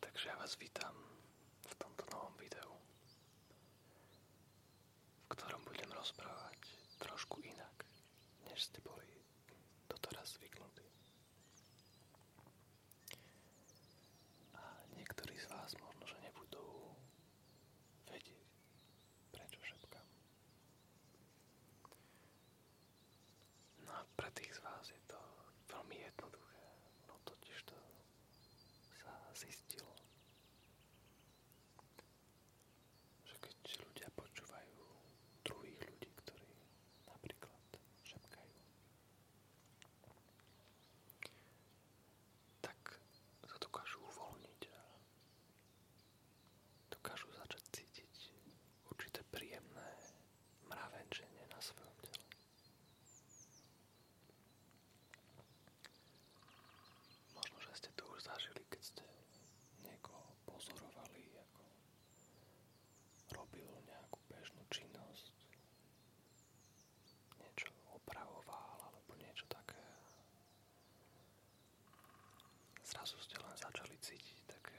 Takže ja vás vítam v tomto novom videu, v ktorom budem rozprávať trošku inak, než ste boli doteraz zvyknutí. A niektorí z vás možno, že nebudú vedieť, prečo šepkám. No a pre tých z vás je to veľmi jednoduché, no totiž to sa zistilo, že keď ľudia počúvajú druhých ľudí, ktorí napríklad šepkajú, tak sa dokážu uvoľniť a dokážu začať cítiť určité príjemné mravenčenie na svojom tele. Možno, že ste to už zažili, keď ste niekoho pozorovali, ako robil nejakú bežnú činnosť, niečo opravoval alebo niečo také. Zrazu ste len začali cítiť také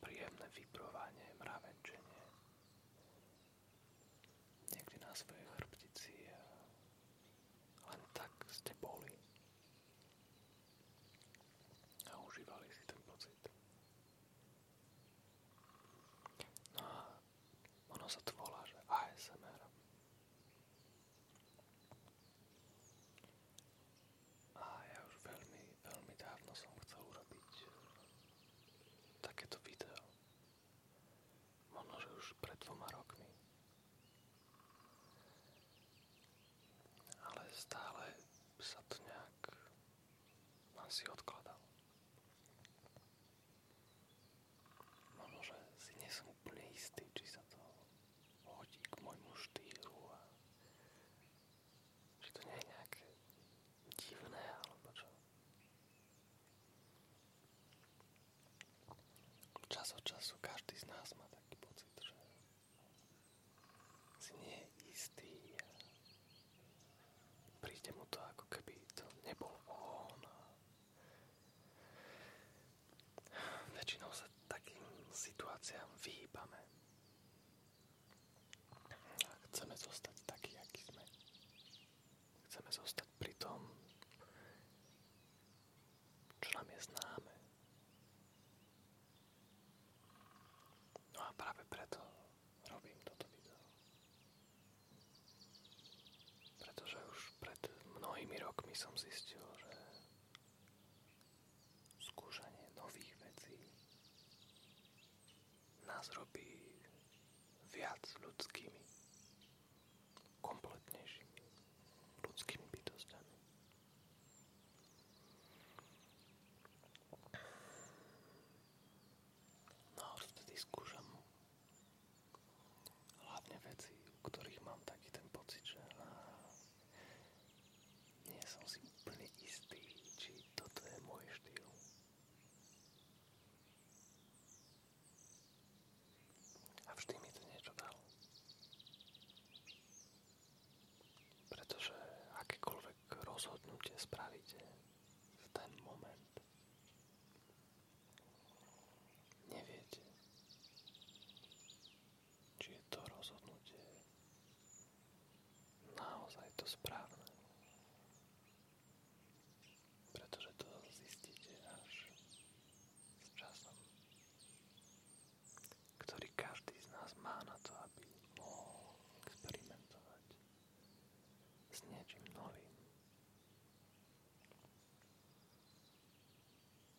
príjemné vibrovanie, mravenčenie. Niekde na svoje chrbtici len tak ste boli a užívali si ten pocit. No a ono sa to volá, že ASMR. A ja už veľmi, veľmi dávno som chcel urobiť eh, takéto video. Možno, že už pred dvoma rokmi. Ale stále sa to nejak asi odkladal. Možno, že si nie som úplne istý, či sa to hodí k môjmu štýlu a že to nie je nejaké divné alebo čo. Čas od času každý z nás má taký pocit, že si nie je istý a príde mu to ako keby to nebol on a Většinou se takým situacím vyhýbáme. Chceme Chcemy zostać taki jak Chceme Chcemy zostać tom, čo nám je známe. No a práve to robím toto video. że już pred mnohými rokmi som zistil, że. skúšanie nových vecí nás robí viac ľudskými, kompletnejšími ľudskými bytostiami. No a vtedy skúšam hlavne veci, u ktorých mám taký ten pocit, že nie som si úplne istý, či toto je môj štýl. A vždy mi to niečo dalo. Pretože akékoľvek rozhodnutie spravíte v ten moment, neviete, či je to rozhodnutie naozaj to správne. Pretože to zistíte až s časom, ktorý každý z nás má na to, aby mohol experimentovať s niečím novým.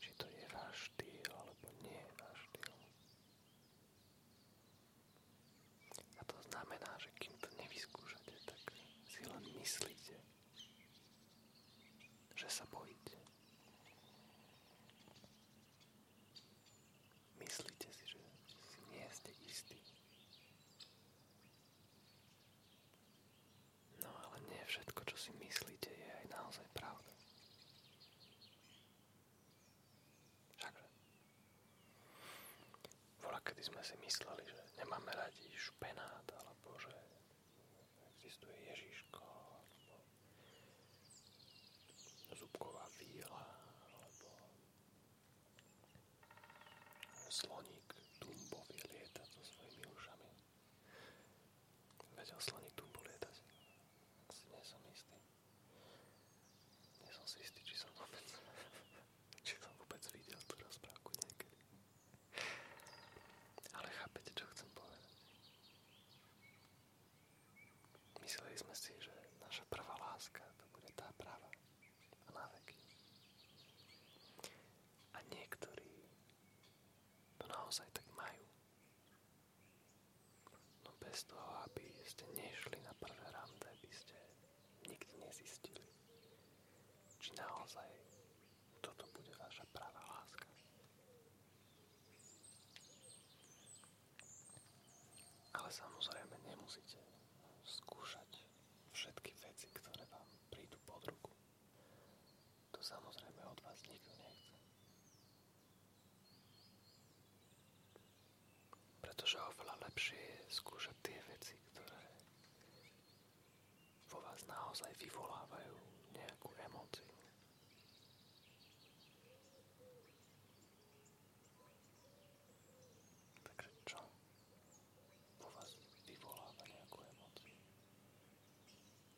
či to je váš alebo nie je váš štýl. A znamená, že kým to nevyskúšate, tak si len myslíte, že sa bojíte. Myslíte si, že nie ste istí. No ale nie všetko, čo si myslíte, je aj naozaj pravda. Všakže. Vola, kedy sme si mysleli, že nemáme radi špenát, alebo že existuje Ježiško, alebo zubková víla, alebo sloník, tumbový lieta so svojimi ušami. Vedel slaník Si nie či som vôbec, či som vôbec videl tú rozprávku niekedy. Ale chápete, čo chcem povedať? Mysleli sme si, že naša prvá láska to bude tá práva a na A niektorí to naozaj tak majú. No bez toho, aby ste nešli na prvé rande, by ste nikdy nezistili, či naozaj toto bude vaša pravá láska. Ale samozrejme nemusíte skúšať všetky veci, ktoré vám prídu pod ruku. To samozrejme od vás nikto nechce. Pretože oveľa lepšie je skúšať tie veci, ktoré vo vás naozaj vyvolávajú nejakú emóciu.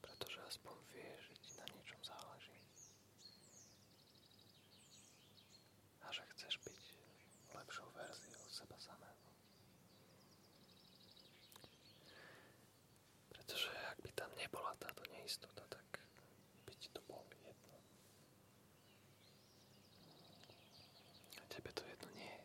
pretože aspoň vieš, že ti na niečom záleží. A že chceš byť lepšou verziou seba samého. Pretože ak by tam nebola táto neistota, tak by ti to bolo jedno. A tebe to jedno nie je.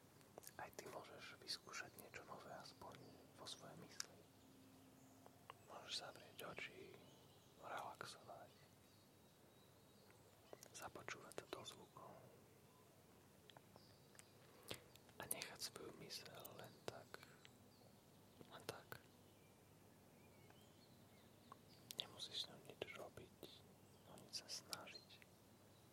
Aj ty możesz vyskúšať niečo nové aspoň po swoje mysli. Możesz zavrieť oči, i započúvať sa do zvukov a niechęć svoju myseľ len tak, a tak. Nie musisz ňou nič robiť, o no nič sa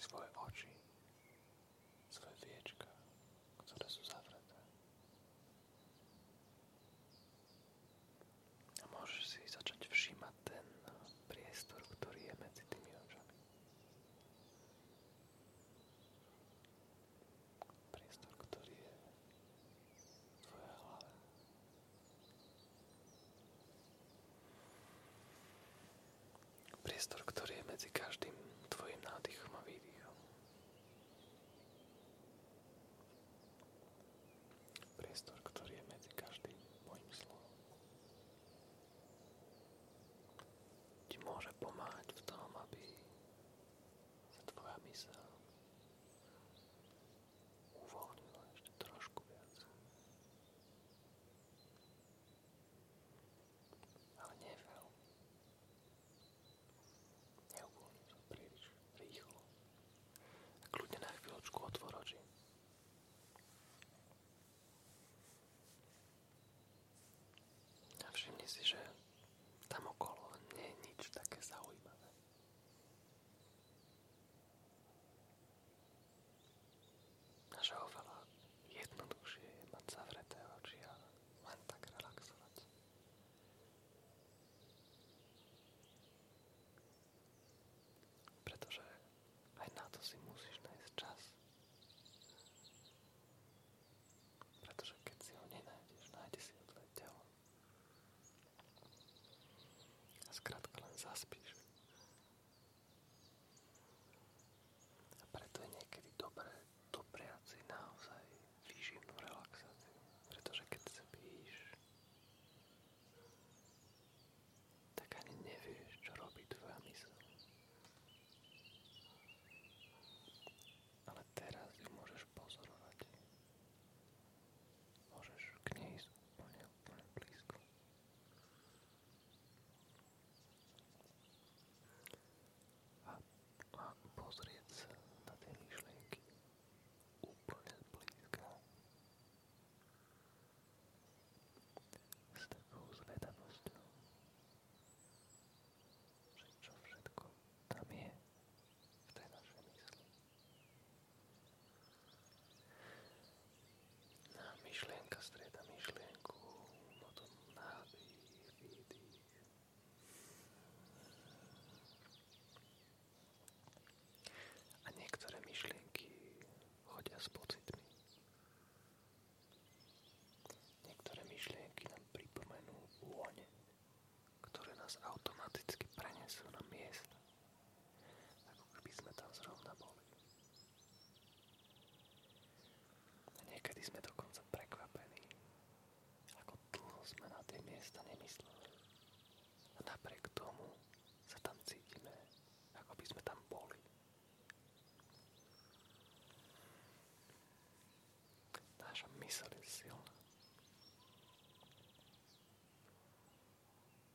svoje oči, svoje viečka, ktoré sú zavreté. A môžeš si začať všímať ten priestor, ktorý je medzi tými očami. Priestor, ktorý je v tvojej hlave, v Priestor, ktorý je medzi každým tvojim nádychom a výdychom. Priestor, ktorý je medzi každým mojim slovom. Ti môže pomáhať v tom, aby tvoja myseľ ale never. Neuvoľním sa príliš rýchlo. A kľudne na chvíľočku otvor oči. A všimni si, že tam okolo nie je nič také zaujímavé. Naša oveľa jednoduchšie je mať zavreté oči a len tak relaxovať. Pretože aj na to si musíš nájsť čas. Pretože keď si ho nenájdeš, nájde si ho tvoje telo. A skrátka len zaspíš. A preto je niekedy dobré dopriať si naozaj výživnú relaxáciu. Pretože keď spíš, tak ani nevieš, čo robí tvoja mysl. Ale teraz ju môžeš pozorovať. Môžeš k nej ísť úplne, úplne blízko. A, a pozrieť sa na tie myšlienky úplne blízka. S takou zvedavosťou, že čo všetko tam je v tej našej mysli. A myšlienka strieda myšlienku, potom nádych, výdych. A niektoré myšlienky chodia s pocitmi. Niektoré myšlienky nám pripomenú vône, ktoré nás automaticky prenesú na miesta, ako keby sme tam zrovna boli. A niekedy sme dokonca prekvapení, ako dlho sme na tie miesta nemysleli. A napriek tomu sa tam cítime, ako by sme tam boli. Naša mysel je silná.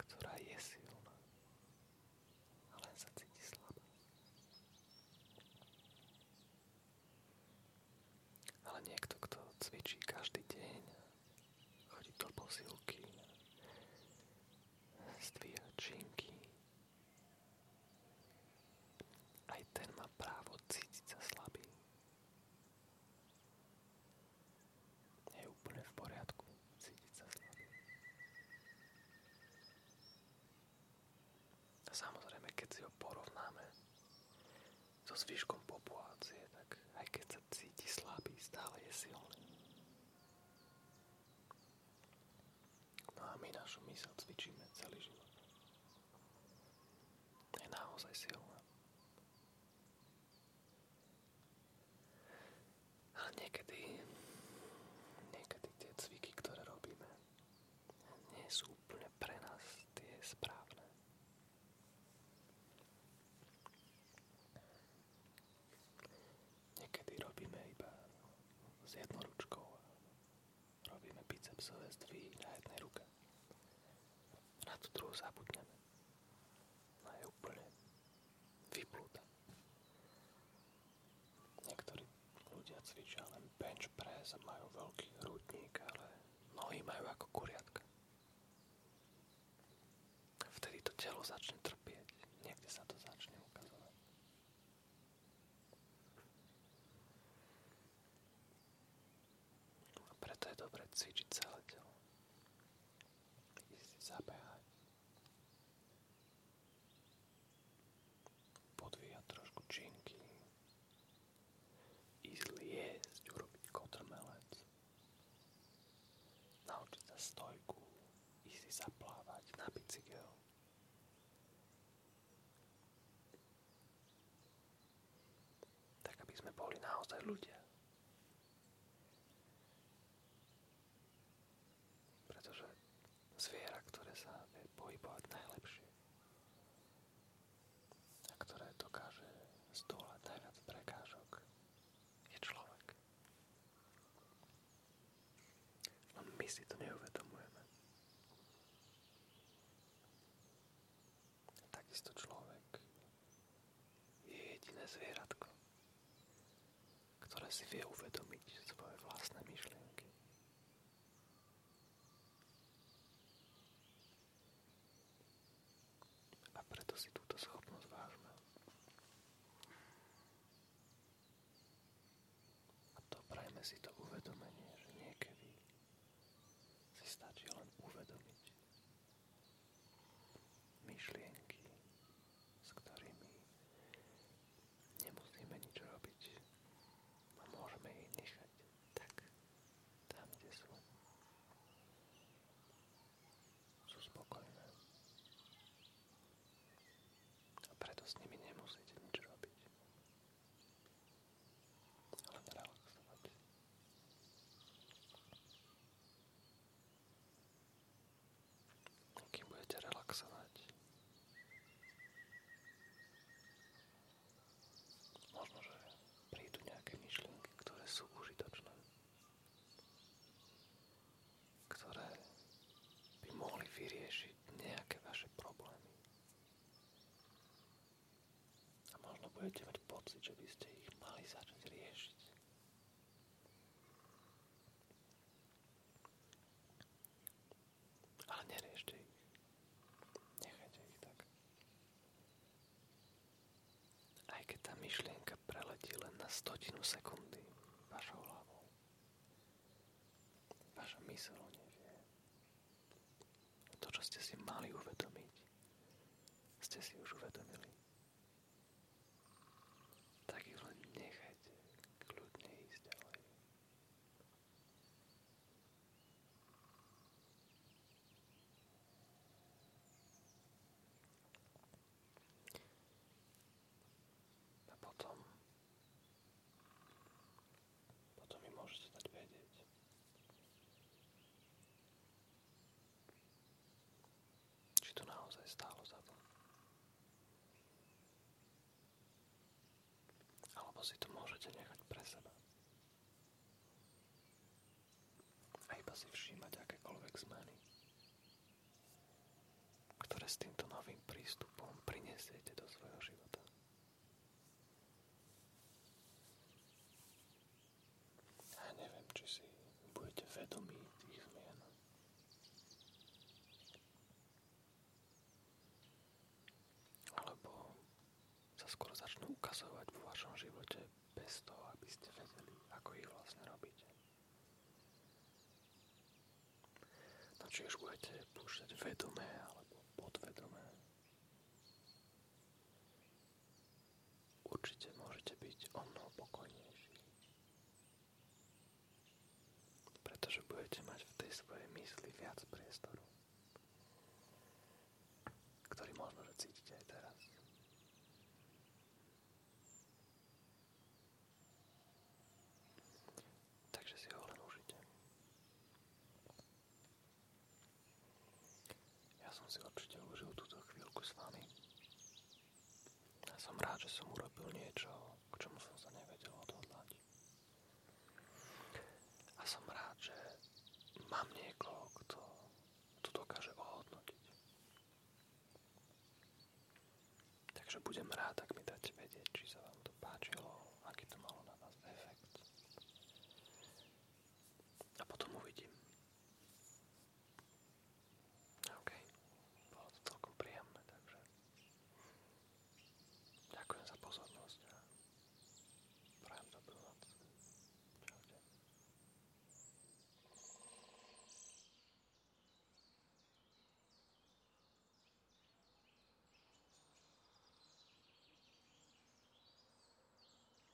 ktorá je silná, ale sa cíti slabá. Ale niekto, kto cvičí každý deň, chodí do posilky, stvíja činky, aj ten má právo cítiť sa slabý je úplne v poriadku cítiť sa keď si ho porovnáme so zvyškom populácie, tak aj keď sa cíti slabý, stále je silný. No a my našu mysel cvičíme celý život. Je naozaj silná. Ale niekedy, niekedy tie cviky, ktoré robíme, nie sú úplne pre nás tie správne. Niekedy robíme iba s jednou ručkou. Robíme bicepsové zdvihy na jednej ruke. Na tú druhú zabudneme. No je úplne vyplúta. Niektorí ľudia cvičia len bench press a majú veľký hrudník, ale nohy majú ako kuriatka. Vtedy to telo začne trpieť, niekde sa to začne ukazovať. A preto je dobre cvičiť celé telo. Ísť si zabehať, Podvíjať trošku činky. Ísť liesť, urobiť kotrmelec. Naučiť sa stojku. Ísť si zaplávať na bicykel. Tak aby sme boli naozaj ľudia. Pretože zviera, ktoré sa vie pohybovať najlepšie a ktoré dokáže zdolať najviac je človek. my si to neuvedomujeme. Takisto človek je jediné zvieratko, ktoré si vie uvedomiť svoje vlastné myšlienky. A preto si túto schopnosť vážme. A to prajme si to uvedomenie, že niekedy si stačí len uvedomiť, myšlienky, s ktorými nemusíme nič robiť a môžeme ich nechať tak tam, kde sú. Sú spokojné. A preto s nimi nemusíte nič robiť. Ale relaxovať. Kým budete relaxovať. Možno, že prídu nejaké myšlienky, ktoré sú užitočné. Ktoré by mohli vyriešiť nejaké vaše problémy. A možno budete mať pocit, že by ste ich mali začať riešiť. Ale neriešte ich. Nechajte ich tak. Aj keď tá myšlienka preletí len na stotinu sekundy vašou hlavou, vaša mysl nevie. To, čo ste si mali uvedomiť, ste si už uvedomili tak ich len nechajte kľudne ísť ďalej. A potom potom mi môžete dať vedieť, či to naozaj stálo za to. Alebo si to môžete nechať pre seba. A iba si všímať akékoľvek zmeny, ktoré s týmto novým prístupom prinesiete do svojho života. A neviem, či si budete vedomí tých zmien. Alebo sa skôr začnú ukazovať vo vašom živote bez toho, aby ste vedeli, ako ich vlastne robíte. No či už budete púšťať vedomé alebo podvedomé, určite môžete byť o mnoho pokojnejší. Pretože budete mať v tej svojej mysli viac priestoru, ktorý možno, že cítite aj teraz. Takže si ho len ja som si určite užil túto chvíľku s vami. Ja som rád, že som urobil niečo, k čomu som sa nevedel odhodlať. A som rád, že mám niekoho, kto to dokáže ohodnotiť. Takže budem rád, ak mi dáte vedieť, či sa vám to páčilo, aký to malo na vás efekt. A potom uvidím. OK. Bolo to celkom príjemné, takže ďakujem za pozornosť a prajem dobrú noc. Čaute.